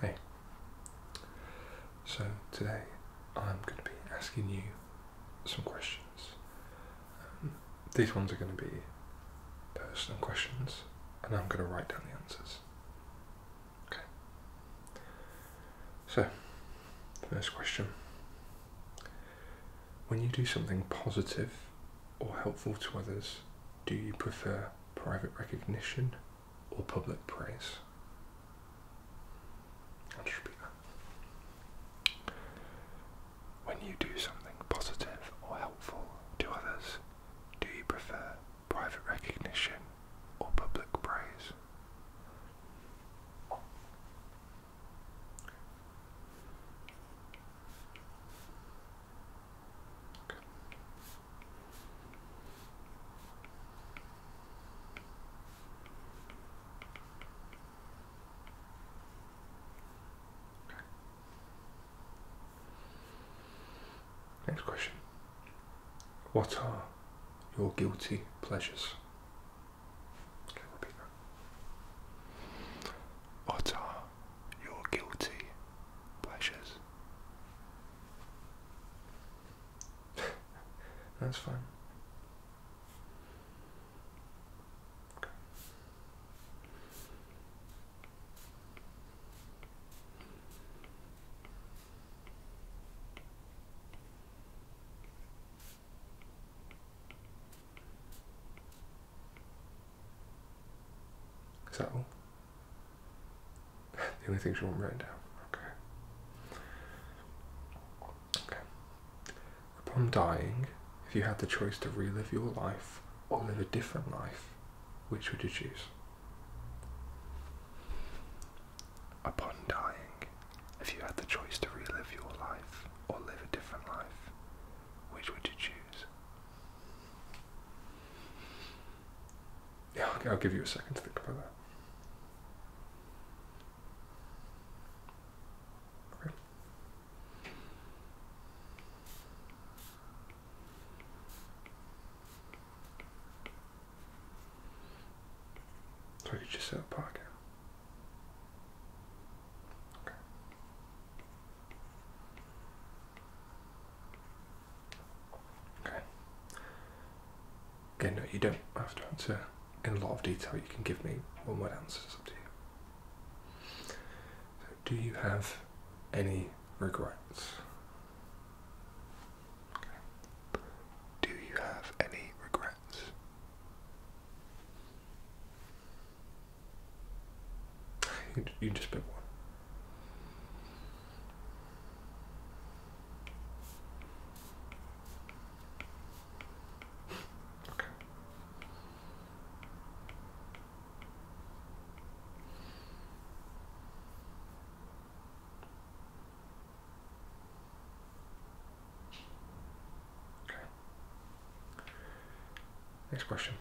Hey, so today I'm going to be asking you some questions. Um, these ones are going to be personal questions, and I'm going to write down the answers. Okay. So, first question. When you do something positive or helpful to others, do you prefer private recognition or public praise? When you do something positive or helpful to others, do you prefer private recognition or public praise? Next question. What are your guilty pleasures? Okay, repeat that. What are your guilty pleasures. That's fine. So, the only things you won't write down. Okay. Okay. Upon dying, if you had the choice to relive your life or live a different life, which would you choose? Upon dying, if you had the choice to relive your life or live a different life, which would you choose? Yeah, I'll give you a second to think about that. So you just said pocket. Okay. Okay. Again, no, you don't have to answer in a lot of detail. You can give me one word answers. up to you. do you have any regrets? Do you have any regrets? You, just pick one. Okay. Next question.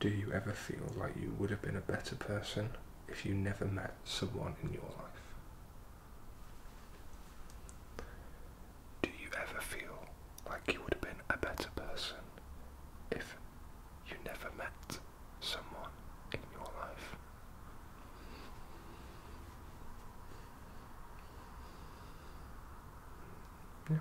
Do you ever feel like you would have been a better person if you never met someone in your life? Do you ever feel like you would have been a better person if you never met someone in your life? Yeah. yeah.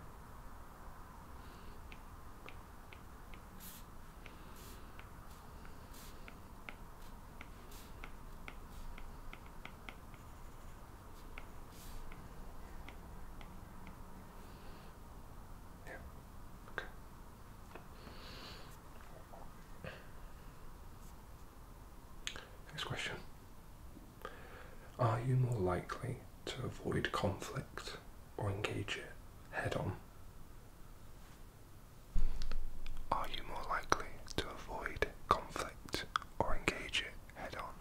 Okay. Next question. Are you more likely to avoid conflict or engage it head on? Are you more likely to avoid conflict or engage it head on?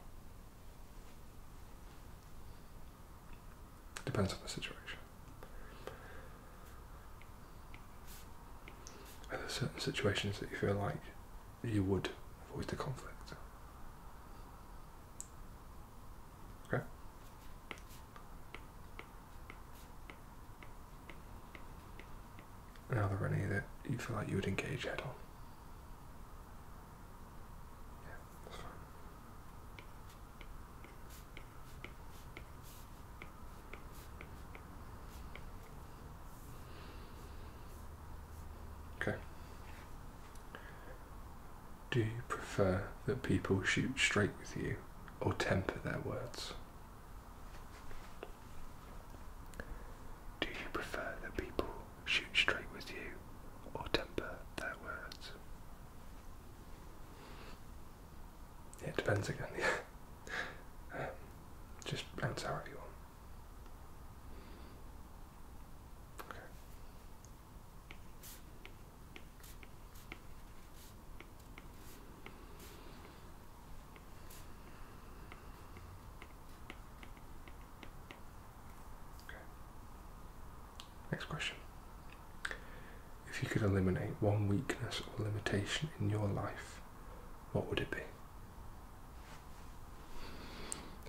Depends on the situation. Are there certain situations that you feel like you would avoid the conflict? Okay. And are there any you feel like you would engage head on? Okay. Do you prefer that people shoot straight with you or temper their words? Do you prefer that people shoot straight with you or temper their words? it depends again. Um, just bounce out if you want. Okay. Okay. Next question. If you could eliminate one weakness or limitation in your life, what would it be?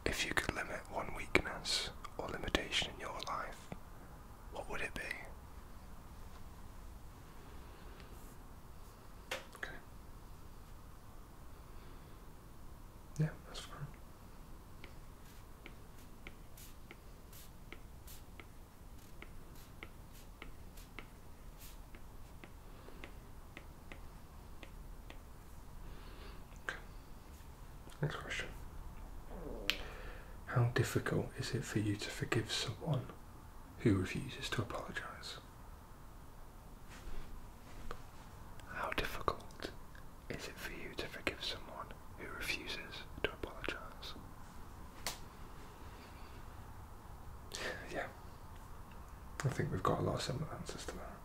If you could limit one weakness or limitation in your life, what would it be? Okay. Yeah, that's fine. Okay. Next question. How difficult is it for you to forgive someone who refuses to apologise? How difficult is it for you to forgive someone who refuses to apologise? Yeah. I think we've got a lot of similar answers to that.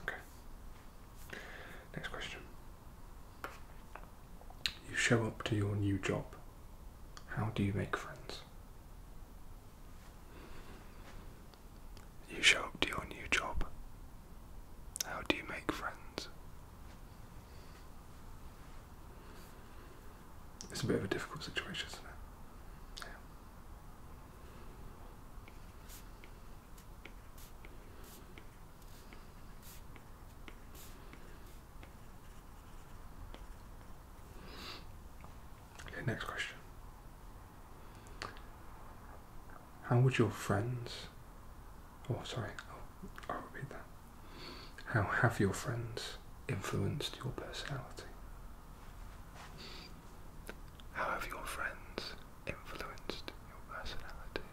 Okay. Next question. You show up to your new job. How do you make friends? You show up to your new job. How do you make friends? It's a bit of a difficult situation, isn't it? Yeah. next question. How would your friends, oh sorry, I'll, repeat that. How have your friends influenced your personality? How have your friends influenced your personality?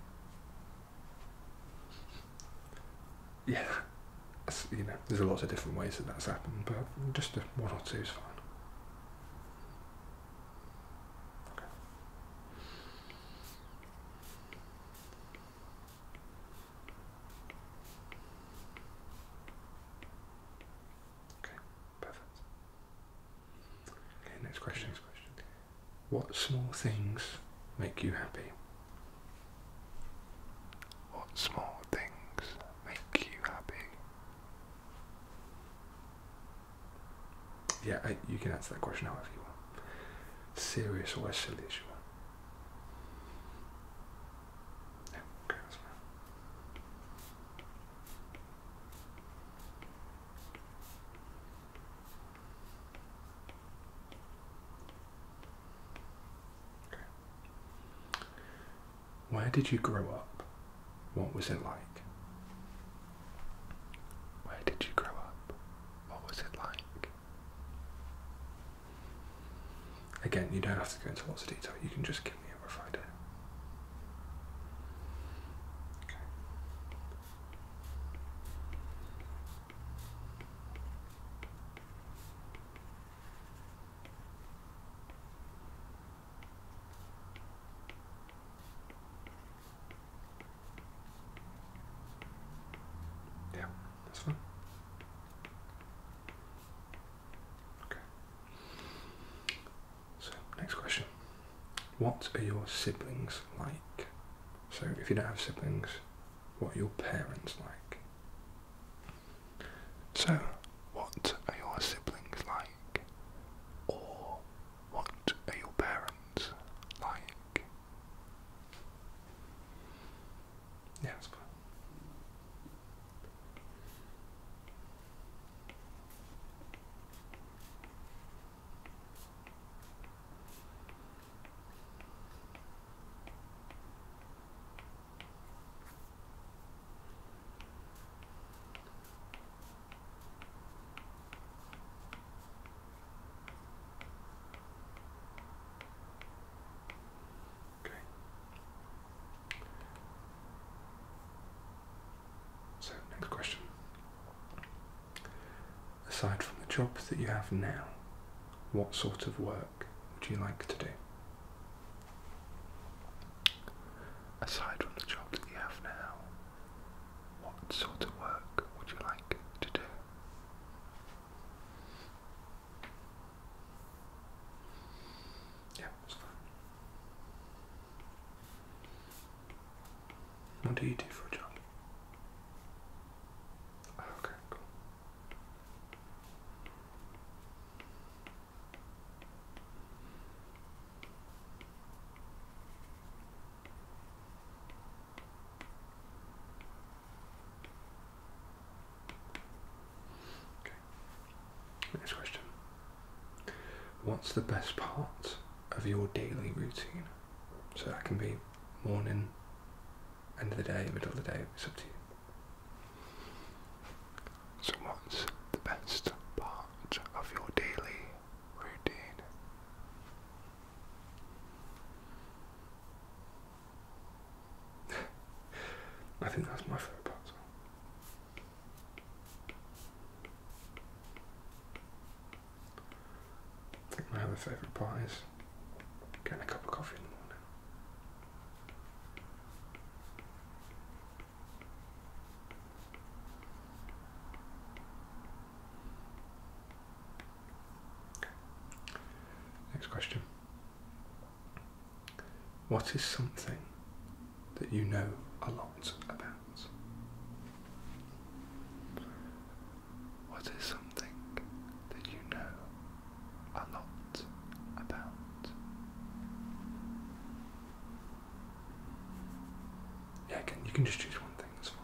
Yeah, you know, there's a lot of different ways that that's happened, but just one or two is fine. Okay, perfect. Okay, next question. Next question. What small things make you happy? What small things make you happy? Yeah, you can answer that question however you want. Serious or silly as you want. Okay. Where did you grow up? What was it like? Where did you grow up? What was it like? Again, you don't have to go into lots of detail, you can just give me a rough idea. Yeah, this one. Okay. So, next question. What are your siblings like? So, if you don't have siblings, what are your parents like? So, what are your siblings like? Or what are your parents like? Yeah, Okay. So, next question. Aside from the job that you have now, what sort of work work would you like to do? Aside from the job that you have now, what sort of work would you like to do? Yeah, that's fine. What do you do for a job? Oh, okay, cool. Next question. What's the best part of your daily routine? So that can be morning, end of the day, middle of the day, it's up to you. So, what's the best part of your daily routine? I think that's my favourite part as well. I think my other favourite part is getting a cup of coffee in the morning. Next question. What is something that you know a lot about? What is something that you know a lot about? Yeah, you can just choose one thing, that's fine.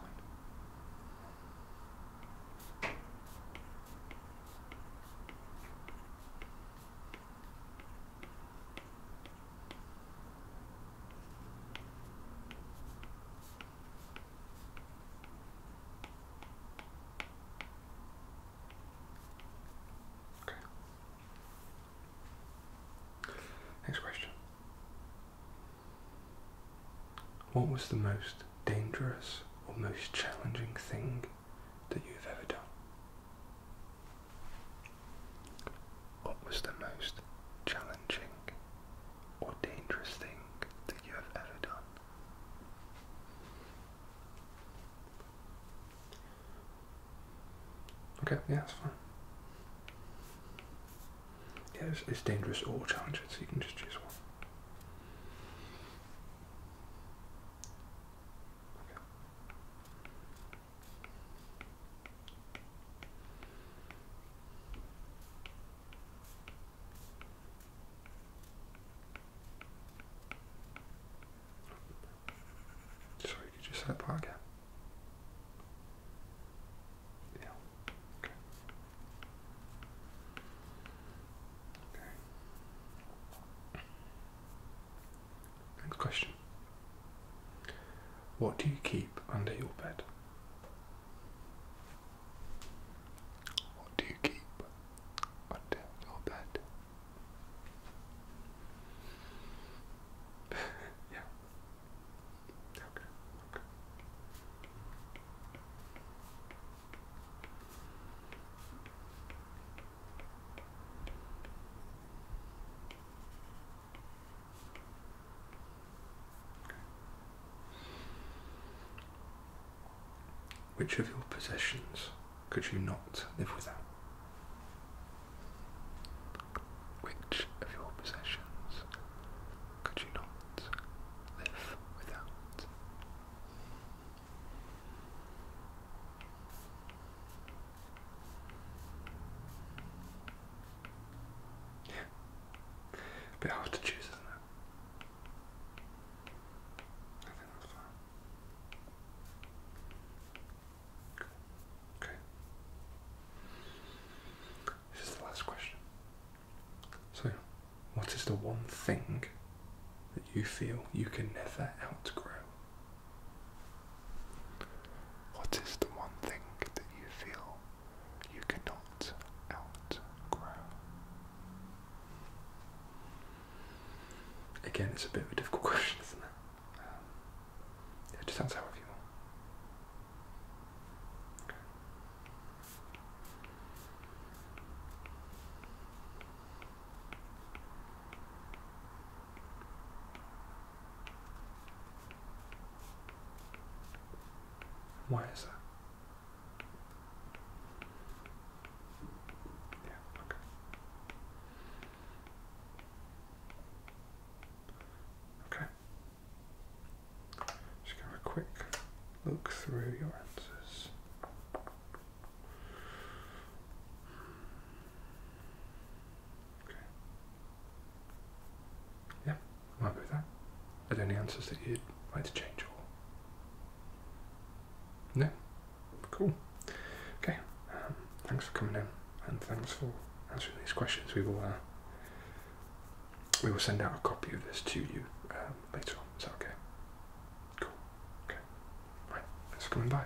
Next question. What was the most dangerous or most challenging thing that you've ever done? What was the most challenging or dangerous thing that you have ever done? Okay, yeah, that's fine. Yeah, it's, dangerous or challenging, so you can just choose one. Okay. Sorry, you say that part Yeah. Okay. Okay. Next question. What do you keep under your bed? What do you keep under your bed? yeah. Okay, okay. Which of your possessions could you not live without? Which of your possessions could you not live without? A bit hard to choose, isn't it? Okay. This is the last question. So, what is the one thing that you feel you can never outgrow? What is the one thing that you feel you cannot outgrow. Again, it's a bit of a difficult question, isn't it? Um, yeah, just answer you why is that? Yeah, okay. Okay. Just going a quick look through your answers. Okay. Yeah, I'm happy with that. Are there any answers that you'd like to change or? No? Cool. Okay, um, thanks for coming in and thanks for answering these questions. We will, uh, we will send out a copy of this to you um, later on. Is that okay? Cool. Okay. Right, thanks for coming by.